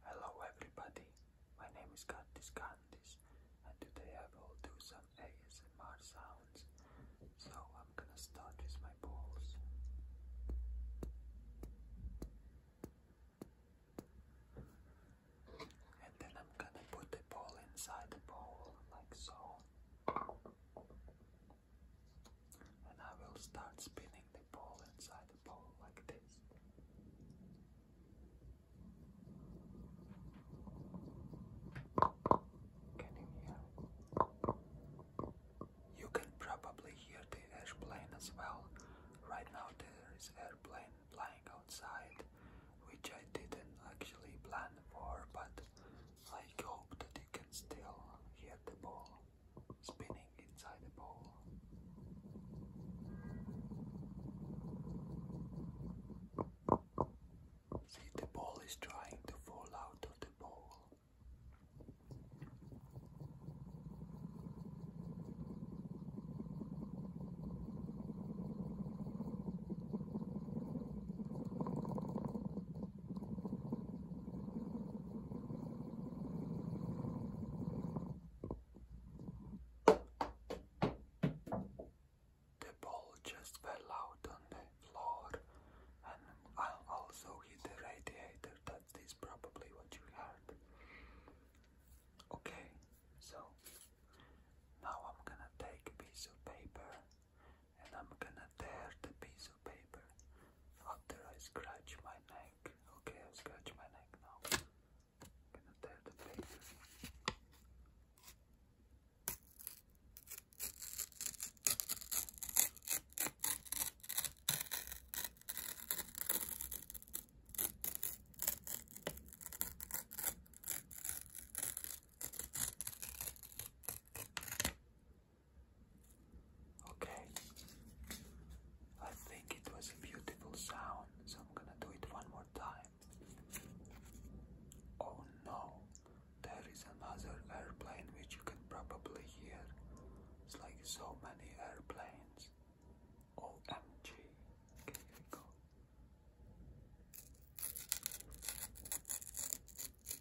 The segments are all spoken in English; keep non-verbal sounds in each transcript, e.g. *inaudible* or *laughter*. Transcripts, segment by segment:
Hello everybody, my name is Candice Candice and today I will do some ASMR sounds. So I'm gonna start with my balls. And then I'm gonna put the ball inside the bowl, like so and I will start spinning the ball inside the bowl like this. Can you hear You can probably hear the airplane as well. Right now there is airplane flying outside, which I didn't actually plan for, but I hope that you can still hear the ball spinning inside the ball. See, the ball is trying to fall out of the ball. The ball just fell out on the floor, and I also hit the radiator. That is probably what you heard. Okay, so now I'm gonna take a piece of paper and I'm gonna tear the piece of paper after I scratch my neck. Okay, i scratch my neck now. gonna tear the paper. Okay. I think it was a beautiful sound, so I'm gonna do it one more time. Oh no, there is another airplane which you can probably hear. It's like so many airplanes. OMG. Okay, here we go.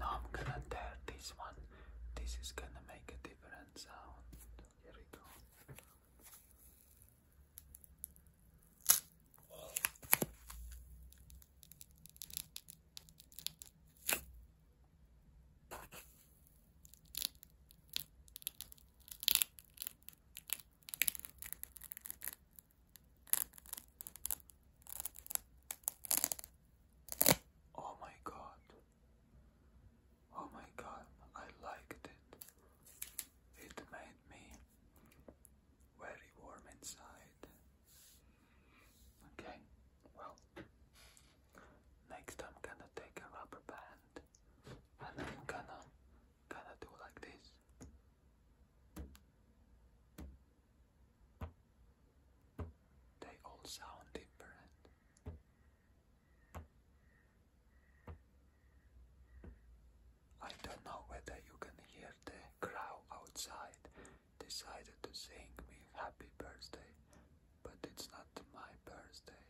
Now I'm gonna tear this one. This is gonna make a different sound. Here we go. Oh my god. Oh my god, I liked it. It made me very warm inside. Okay, well, next I'm gonna take a rubber band and I'm gonna, gonna do like this. They all sound different. I don't know whether you can hear the crowd outside decided to sing me happy birthday, but it's not my birthday.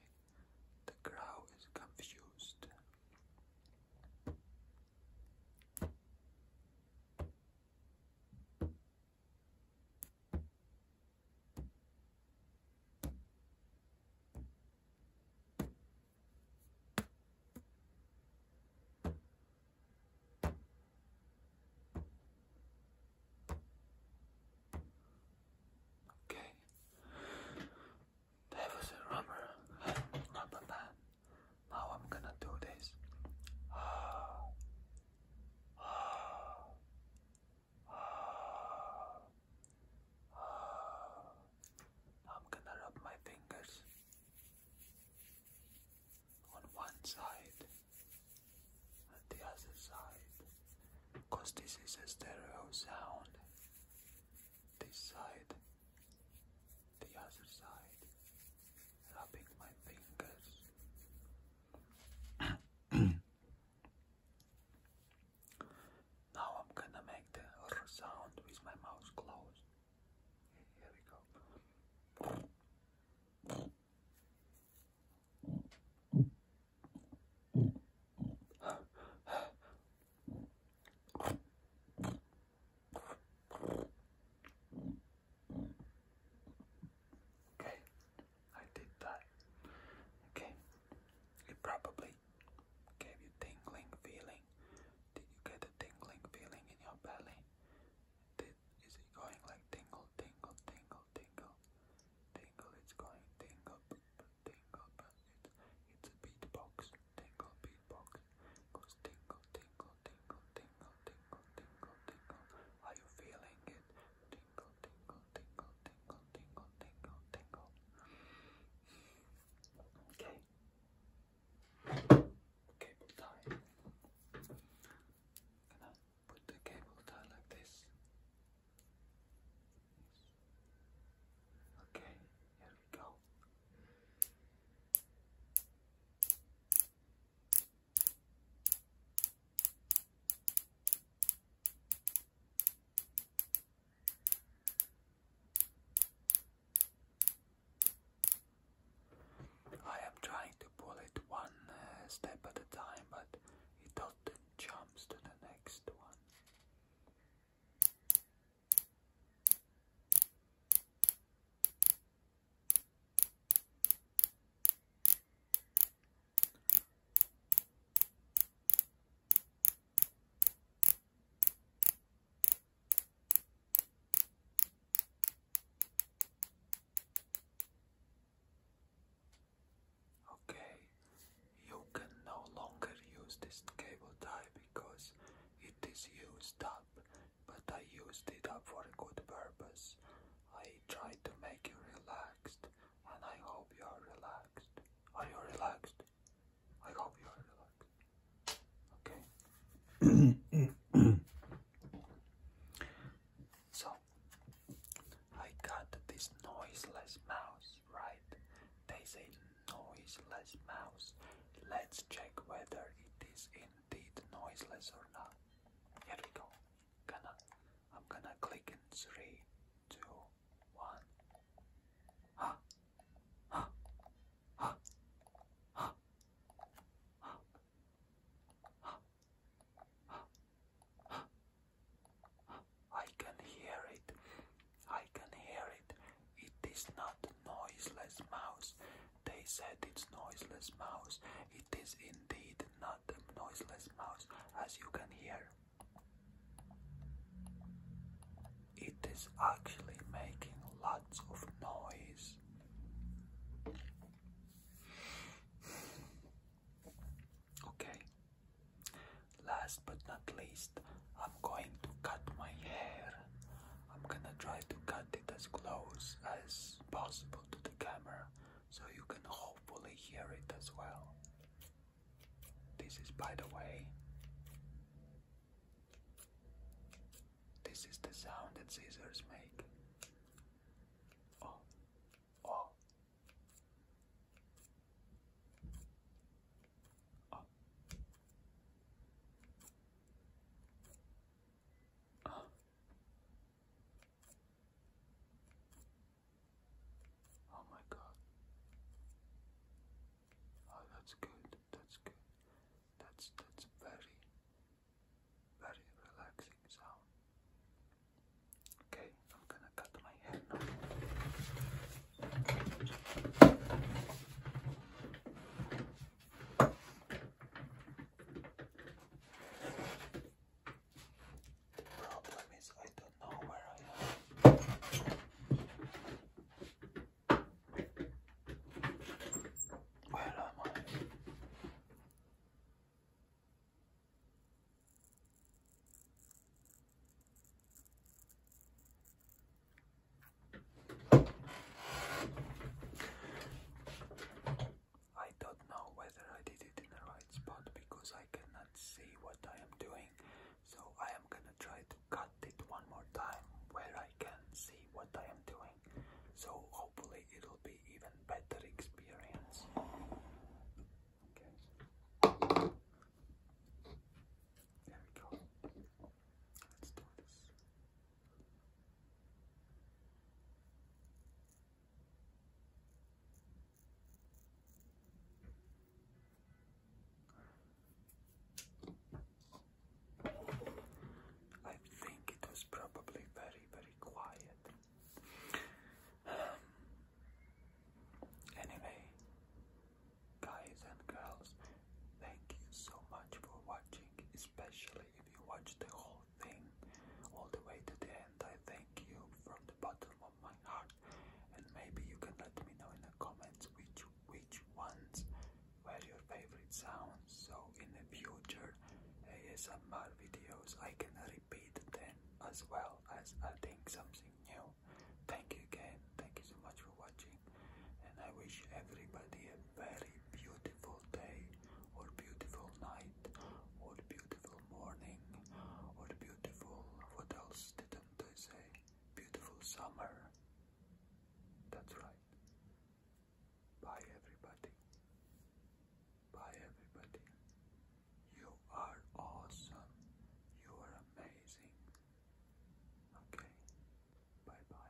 The crowd is confused. Okay, that was a rubber, rubber band. Now I'm gonna do this. Ah. I'm gonna rub my fingers on one side and the other side because this is a stereo sound. This side, the other side. *coughs* now I'm gonna make the R sound with my mouth closed. Here we go. Okay, I did that. Okay, it probably gave you tingling feeling. Did you get a tingling feeling in your belly? Did, is it going like tingle, tingle, tingle, tingle, tingle? It's going tingle, tingle. It's, a beatbox, tingle, beatbox. goes tingle, tingle tingle, tingle, tingle, tingle, tingle, tingle. Are you feeling it? Tingle, tingle, tingle, tingle, tingle, tingle, tingle. Okay. Cable tie. Can I put the cable tie like this? Okay, here we go. I am trying to pull it one uh, step at a time, but it often jumps to the next one. Okay, you can no longer use this cable tie because it is used up but I used it up for a good purpose. I tried to make you relaxed, and I hope you are relaxed. Are you relaxed? I hope you are relaxed. Okay. *coughs* so, I got this noiseless mouse, right? They say noiseless mouse. Let's check whether it is in indeed noiseless or not. Here we go. Gonna, I'm gonna click in three, two, one. I can hear it. I can hear it. It is not noiseless mouse. They said it's noiseless mouse. It is indeed not a noiseless mouse, as you can hear. It is actually making lots of noise. Okay, last but not least, I'm going to cut my hair. I'm gonna try to cut it as close as possible to the camera so you can hopefully hear it as well. This is, by the way, this is the sound that scissors make. Oh, oh, oh. Oh. oh my god. Oh that's good, that's good. That's that's very very relaxing sound. Okay, I'm gonna cut my hair Problem is, I don't know where I am. Where am I? I don't know whether I did it in the right spot because I cannot see what I am doing. So I am gonna try to cut it one more time where I can see what I am doing. So hopefully it'll be even better experience. Okay. There we go. Let's do this. I think it was probably very, very quiet. anyway, guys and girls, thank you so much for watching, especially if you watched the whole all the way to the end. I thank you from the bottom of my heart, and maybe you can let me know in the comments which which ones were your favorite sounds. So in the future ASMR videos, I can repeat them as well as adding something new. Thank you again. Thank you so much for watching, and I wish everybody a very beautiful day or beautiful night or beautiful morning or beautiful what else didn't I say? Beautiful summer. That's right. Bye everybody. Bye everybody. You are awesome. You are amazing. Okay. Bye bye.